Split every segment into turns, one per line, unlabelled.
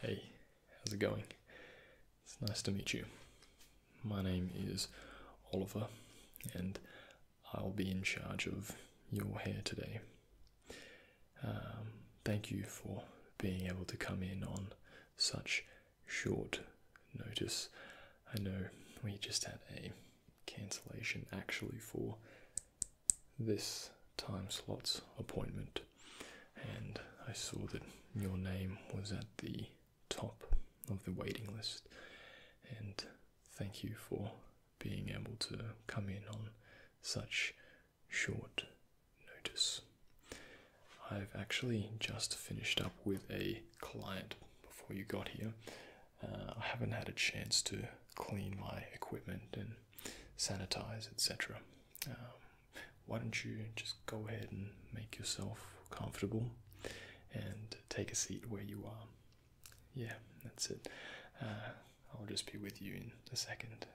Hey, how's it going? It's nice to meet you. My name is Oliver, and I'll be in charge of your hair today. Um, thank you for being able to come in on such short notice. I know we just had a cancellation actually for this time slot's appointment, and I saw that your name was at the top of the waiting list. And thank you for being able to come in on such short notice. I've actually just finished up with a client before you got here. Uh, I haven't had a chance to clean my equipment and sanitize, etc. Um, why don't you just go ahead and make yourself comfortable and take a seat where you are? Yeah, that's it. Uh, I'll just be with you in a second.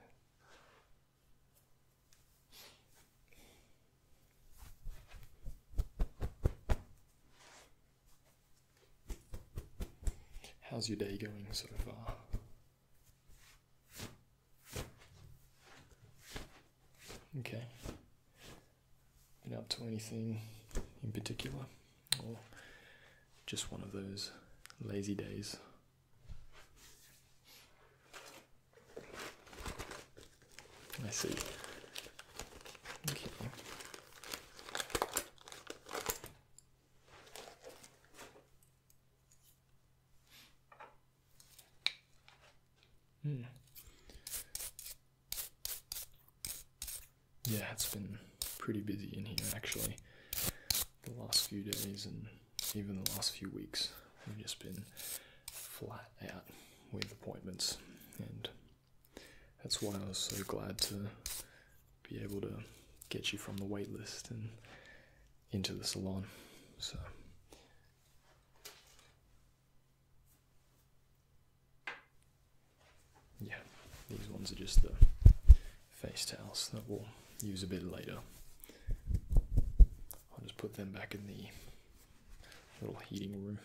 How's your day going so far? Okay. Been up to anything in particular, or just one of those lazy days? let I see. Mm. Yeah, it's been pretty busy in here actually. The last few days and even the last few weeks, we've just been flat out with appointments, and that's why I was so glad to be able to get you from the wait list and into the salon. So yeah, these ones are just the face towels that we'll use a bit later. I'll just put them back in the little heating room.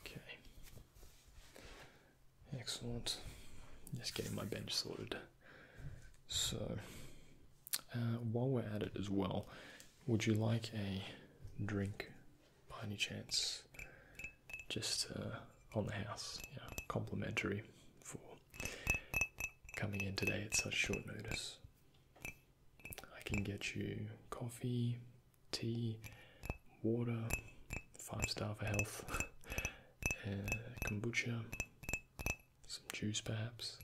Okay. Excellent. Just getting my bench sorted. So, uh, while we're at it as well, would you like a drink by any chance? Just uh, on the house, yeah, complimentary for coming in today at such short notice. I can get you coffee, tea, water, five star for health, uh, kombucha, some juice perhaps,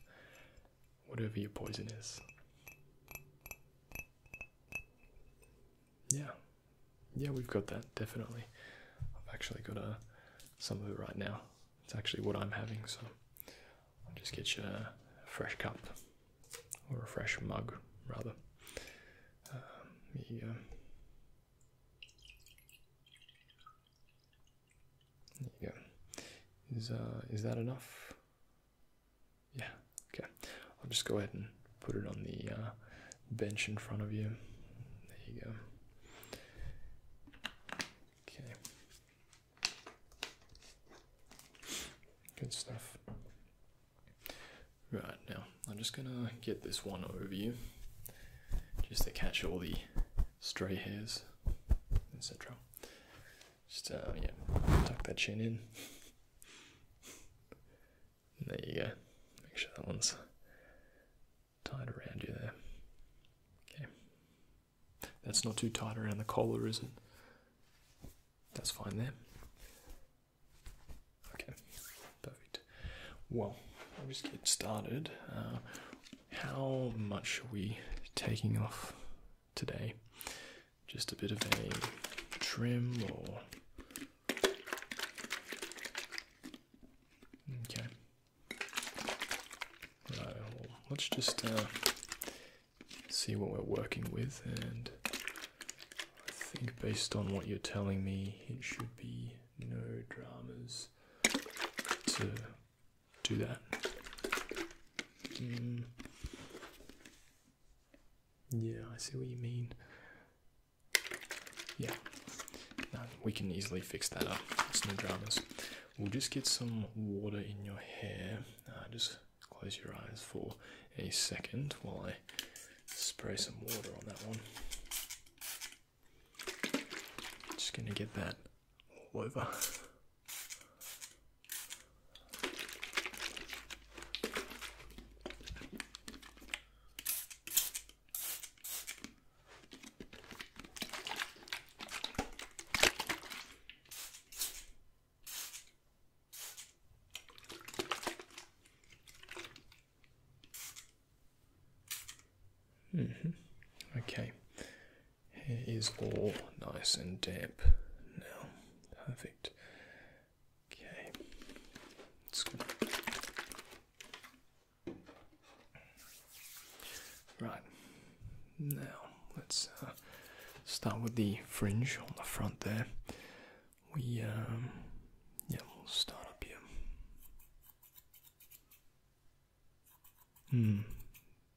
whatever your poison is. Yeah, yeah, we've got that definitely. I've actually got uh, some of it right now. It's actually what I'm having, so I'll just get you a fresh cup or a fresh mug, rather. Um, there you go. Is uh, is that enough? Yeah. Okay. I'll just go ahead and put it on the uh, bench in front of you. There you go. Okay. Good stuff. Right now, I'm just gonna get this one over you just to catch all the stray hairs, etc. Just, uh, yeah, tuck that chin in. there you go. Make sure that one's tied around you there. Okay. That's not too tight around the collar, is it? That's fine there. Okay, perfect. Well, let's get started. Uh, how much are we taking off today? Just a bit of a trim or. Okay. Right, let's just uh, see what we're working with and I think based on what you're telling me it should be no dramas to do that. Mm. Yeah, I see what you mean. Yeah, we can easily fix that up. no dramas. We'll just get some water in your hair. Uh, just close your eyes for a second while I spray some water on that one. Just gonna get that all over. Mm-hmm. Okay, hair all nice and damp now. Perfect. Okay, Right, now, let's uh, start with the fringe on the front there. We, um, yeah, we'll start up here. Hmm.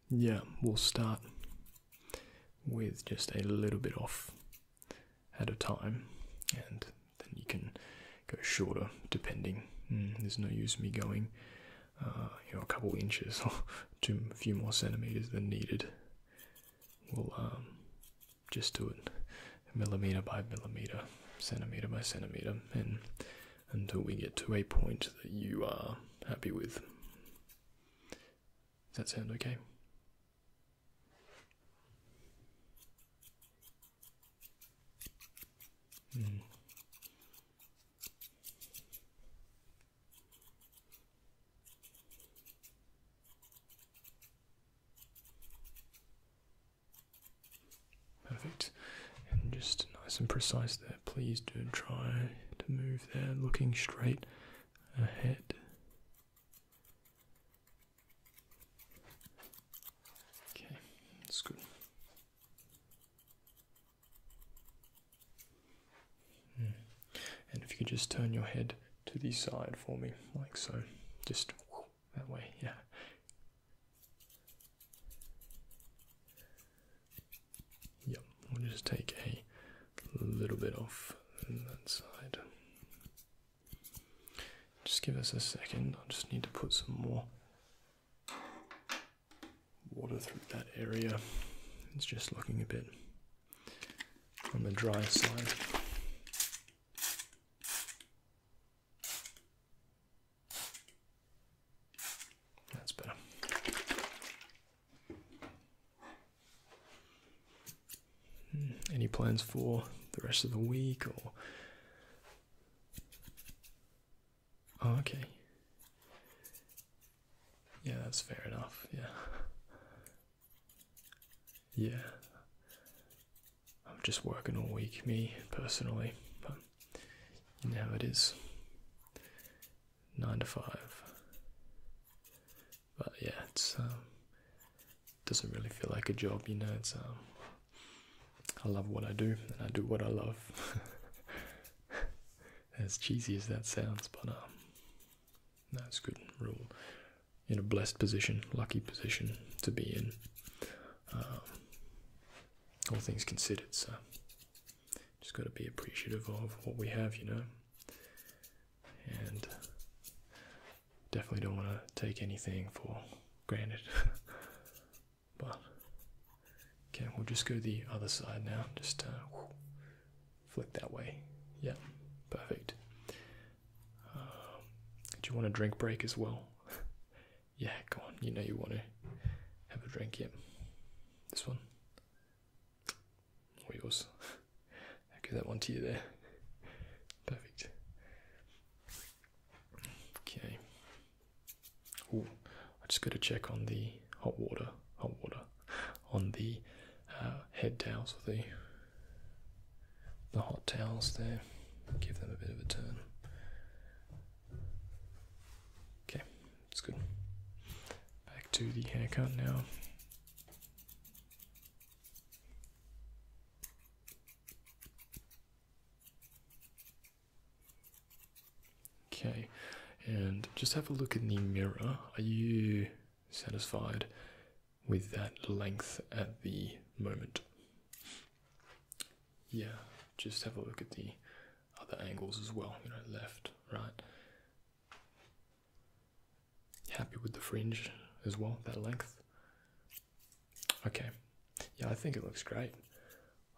yeah, we'll start with just a little bit off at a time, and then you can go shorter depending. Hmm, there's no use me going, uh, you know, a couple inches or to a few more centimeters than needed. We'll um, just do it millimeter by millimeter, centimeter by centimeter, and until we get to a point that you are happy with. Does that sound okay? Hmm. Perfect. And just nice and precise there. Please do try to move there, looking straight ahead. Okay, that's good. Hmm. And if you could just turn your head to the side for me, like so, just that way, yeah. Yep, we'll just take a little bit off that side. Just give us a second, I just need to put some more water through that area. It's just looking a bit on the dry side. That's better. Hmm, any plans for the rest of the week or? Oh, okay. Yeah, that's fair enough. Yeah. Yeah. I'm just working all week, me personally, but you know it is. Nine to five. But yeah, it's um, doesn't really feel like a job, you know, it's um, I love what I do and I do what I love. as cheesy as that sounds, but um that's good rule. In a blessed position, lucky position to be in. Um, all things considered, so just got to be appreciative of what we have, you know. And definitely don't want to take anything for granted. but okay, we'll just go the other side now. Just uh, flick that way. Yeah, perfect. Um, do you want a drink break as well? yeah, go on. You know you want to have a drink. Yep. Yeah. This one. Or yours. I'll give that one to you there. Perfect. Okay. Oh, I just got to check on the hot water. Hot water on the uh, head towels or the the hot towels there. Give them a bit of a turn. Okay, it's good. Back to the haircut now. Okay, and just have a look in the mirror. Are you satisfied with that length at the moment. Yeah, just have a look at the other angles as well, you know, left, right. Happy with the fringe as well, that length. Okay, yeah, I think it looks great.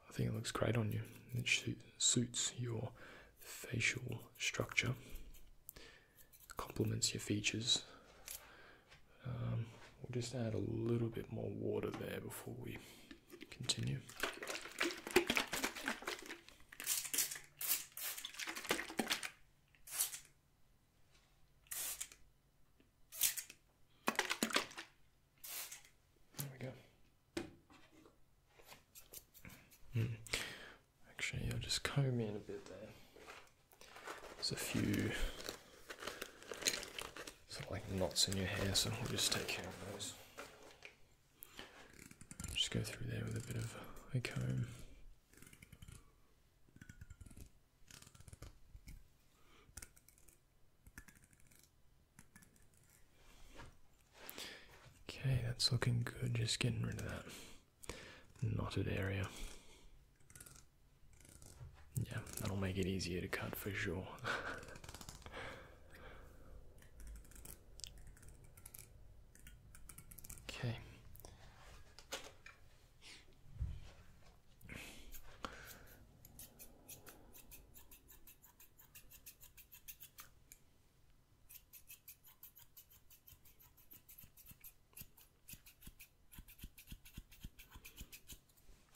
I think it looks great on you. It suits your facial structure complements your features. Um, we'll just add a little bit more water there before we continue. There we go. Hmm. Actually, I'll just comb in a bit there. There's a few sort of like knots in your hair, so we'll just take care of those. Just go through there with a bit of a comb. Okay, that's looking good. Just getting rid of that knotted area. Yeah, that'll make it easier to cut for sure. okay.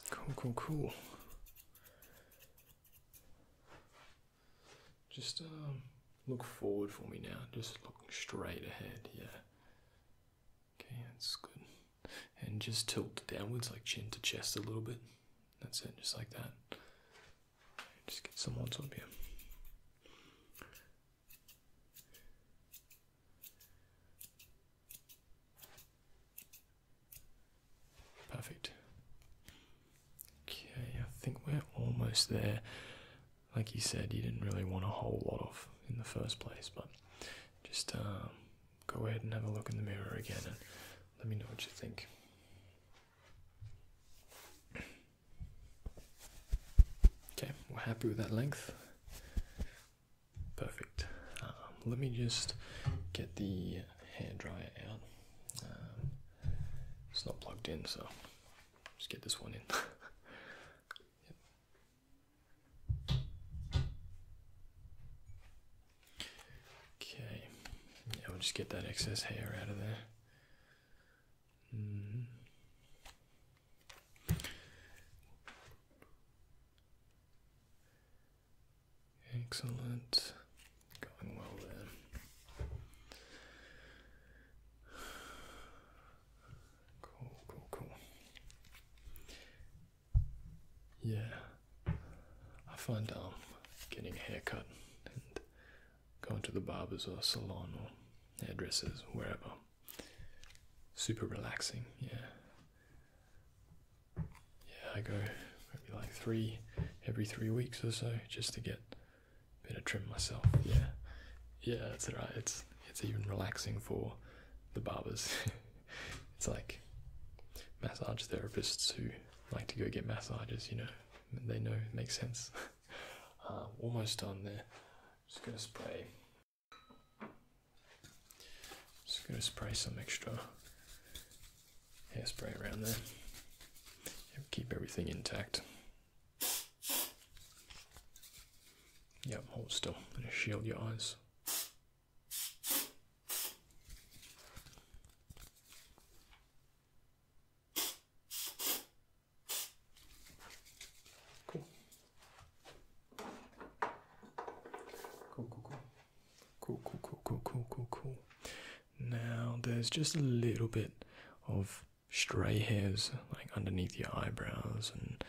Cool, cool, cool. Just um, look forward for me now. Just looking straight ahead. Yeah. Okay, that's good. And just tilt downwards, like chin to chest a little bit. That's it, just like that. Just get some odds on here. Perfect. Okay, I think we're almost there. Like you said, you didn't really want a whole lot of in the first place, but just um, go ahead and have a look in the mirror again and let me know what you think. Okay, we're happy with that length. Perfect. Um, let me just get the hair dryer out. Um, it's not plugged in, so just get this one in. Okay, yeah, we'll just get that excess hair out of there. Mm-hmm. Excellent. Going well then. Cool, cool, cool. Yeah. I find um getting a haircut going to the barbers or salon or hairdressers, wherever. Super relaxing, yeah. Yeah, I go maybe like three every three weeks or so just to get a bit of trim myself. Yeah, yeah, that's right. It's it's even relaxing for the barbers. it's like massage therapists who like to go get massages. You know, they know it makes sense. Uh, almost done there. Just gonna spray. Just gonna spray some extra hairspray around there. Yep, keep everything intact. Yep, hold still. gonna shield your eyes. Cool. Cool, cool, cool. Cool, cool, cool, cool, Now there's just a little bit of stray hairs like underneath your eyebrows and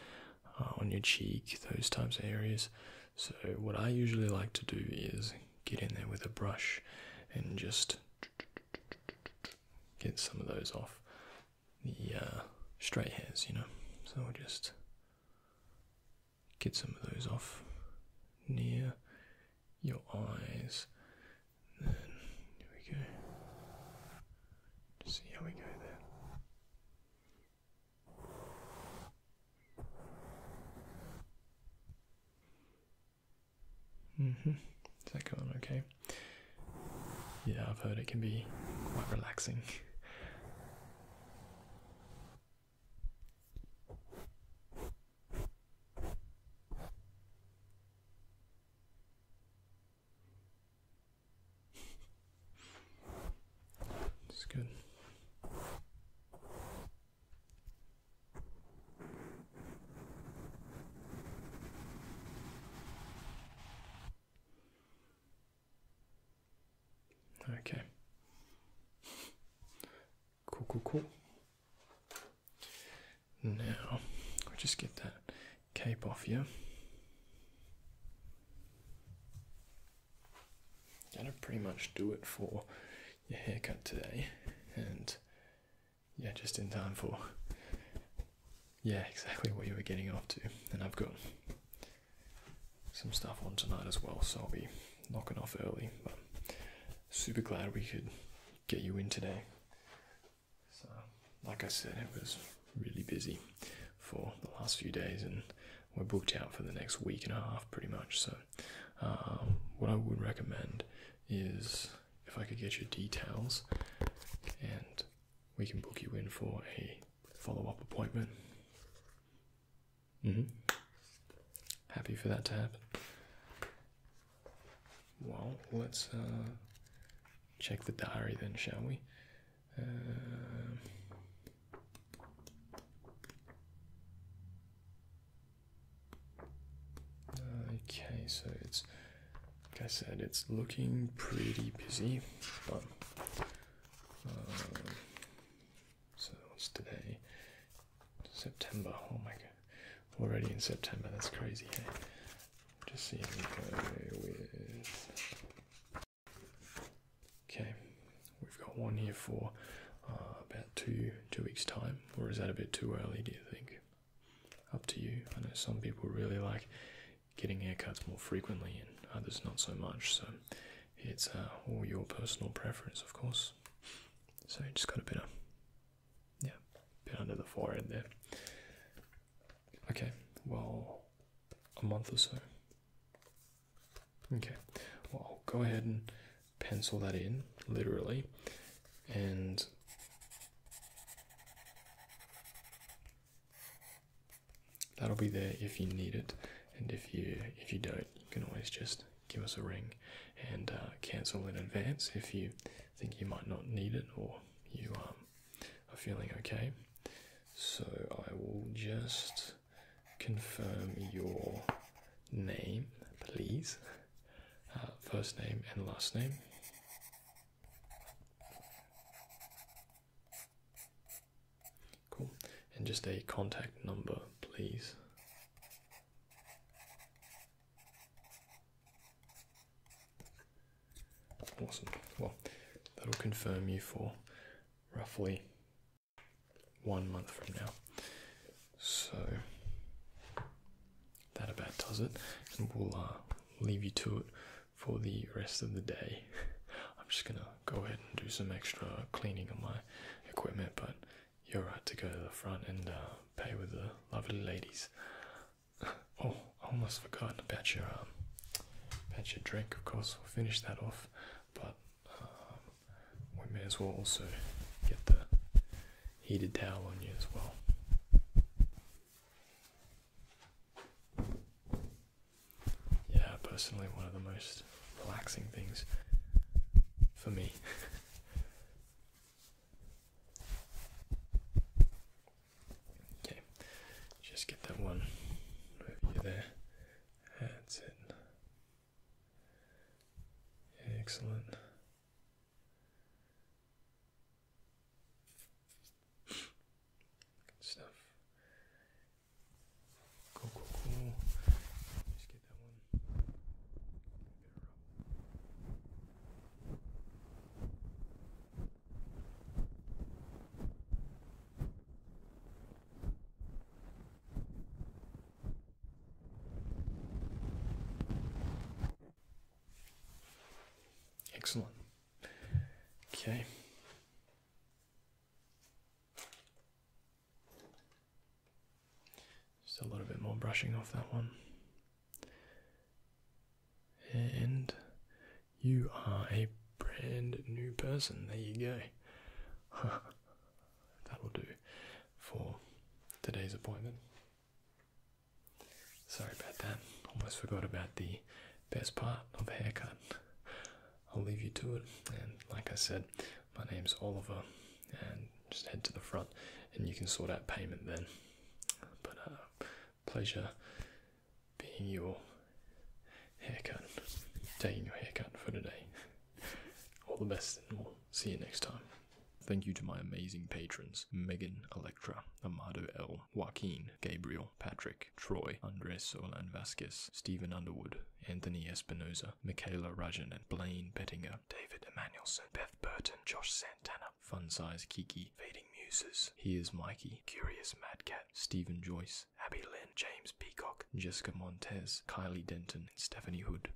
uh, on your cheek, those types of areas. So, what I usually like to do is get in there with a brush and just get some of those off the uh, straight hairs, you know. So I'll just get some of those off near your eyes. then here we go. see how we go there. Mm-hmm. Is that going okay? yeah, I've heard it can be quite relaxing. It's good. Okay. Cool, cool, cool. Now, I'll just get that cape off you. That'll pretty much do it for your haircut today. And yeah, just in time for yeah, exactly what you were getting off to. And I've got some stuff on tonight as well, so I'll be knocking off early. But super glad we could get you in today. So, like I said, it was really busy for the last few days, and we're booked out for the next week and a half pretty much. So, um, what I would recommend is if I could get your details and we can book you in for a follow up appointment. Mm-hmm. Happy for that to happen. Well, let's uh, check the diary then, shall we? Uh, okay, so it's like I said, it's looking pretty busy, um, so it's today, September. Oh my god, already in September, that's crazy. Just see if we go with okay, we've got one here for uh, about two two weeks' time, or is that a bit too early? Do you think? Up to you. I know some people really like getting haircuts more frequently and others not so much. So it's uh, all your personal preference, of course. So you just got a bit of, yeah, bit under the forehead there. Okay, well, a month or so. Okay, well, go ahead and pencil that in, literally, and That'll be there if you need it, and if you if you don't, you can always just give us a ring and uh, cancel in advance if you think you might not need it or you um, are feeling okay. So I will just confirm your name, please. Uh, first name and last name. Cool. And just a contact number, please. Awesome. Well, that'll confirm you for roughly one month from now. So that about does it, and we'll uh, leave you to it for the rest of the day. I'm just gonna go ahead and do some extra cleaning on my equipment, but you're right to go to the front and uh, pay with the lovely ladies. oh, I almost forgot about your um, about your drink. Of course, we'll finish that off, but um, we may as well also get the heated towel on you as well. Yeah, personally, one of the most relaxing things for me. okay, just get that one there. That's it. Excellent. Good stuff. Cool, cool, cool. Just get that one. Excellent. Okay. Just a little bit more brushing off that one. And you are a brand new person. There you go. That'll do for today's appointment. Sorry about that. Almost forgot about the best part of a haircut. I'll leave you to it. And like I said, my name's Oliver. And just head to the front and you can sort out payment then. But uh, pleasure being your haircut, taking your haircut for today. All the best and we'll see you next time. Thank you to my amazing patrons Megan, Electra, Amado L, Joaquin, Gabriel, Patrick, Troy, Andres Olan Vasquez, Stephen Underwood, Anthony Espinoza, Michaela Rajan, and Blaine Bettinger, David Emanuelson, Beth Burton, Josh Santana, Fun Size Kiki, Fading Muses, Here's Mikey, Curious Madcat, Stephen Joyce, Abby Lynn, James Peacock, Jessica Montez, Kylie Denton, and Stephanie Hood.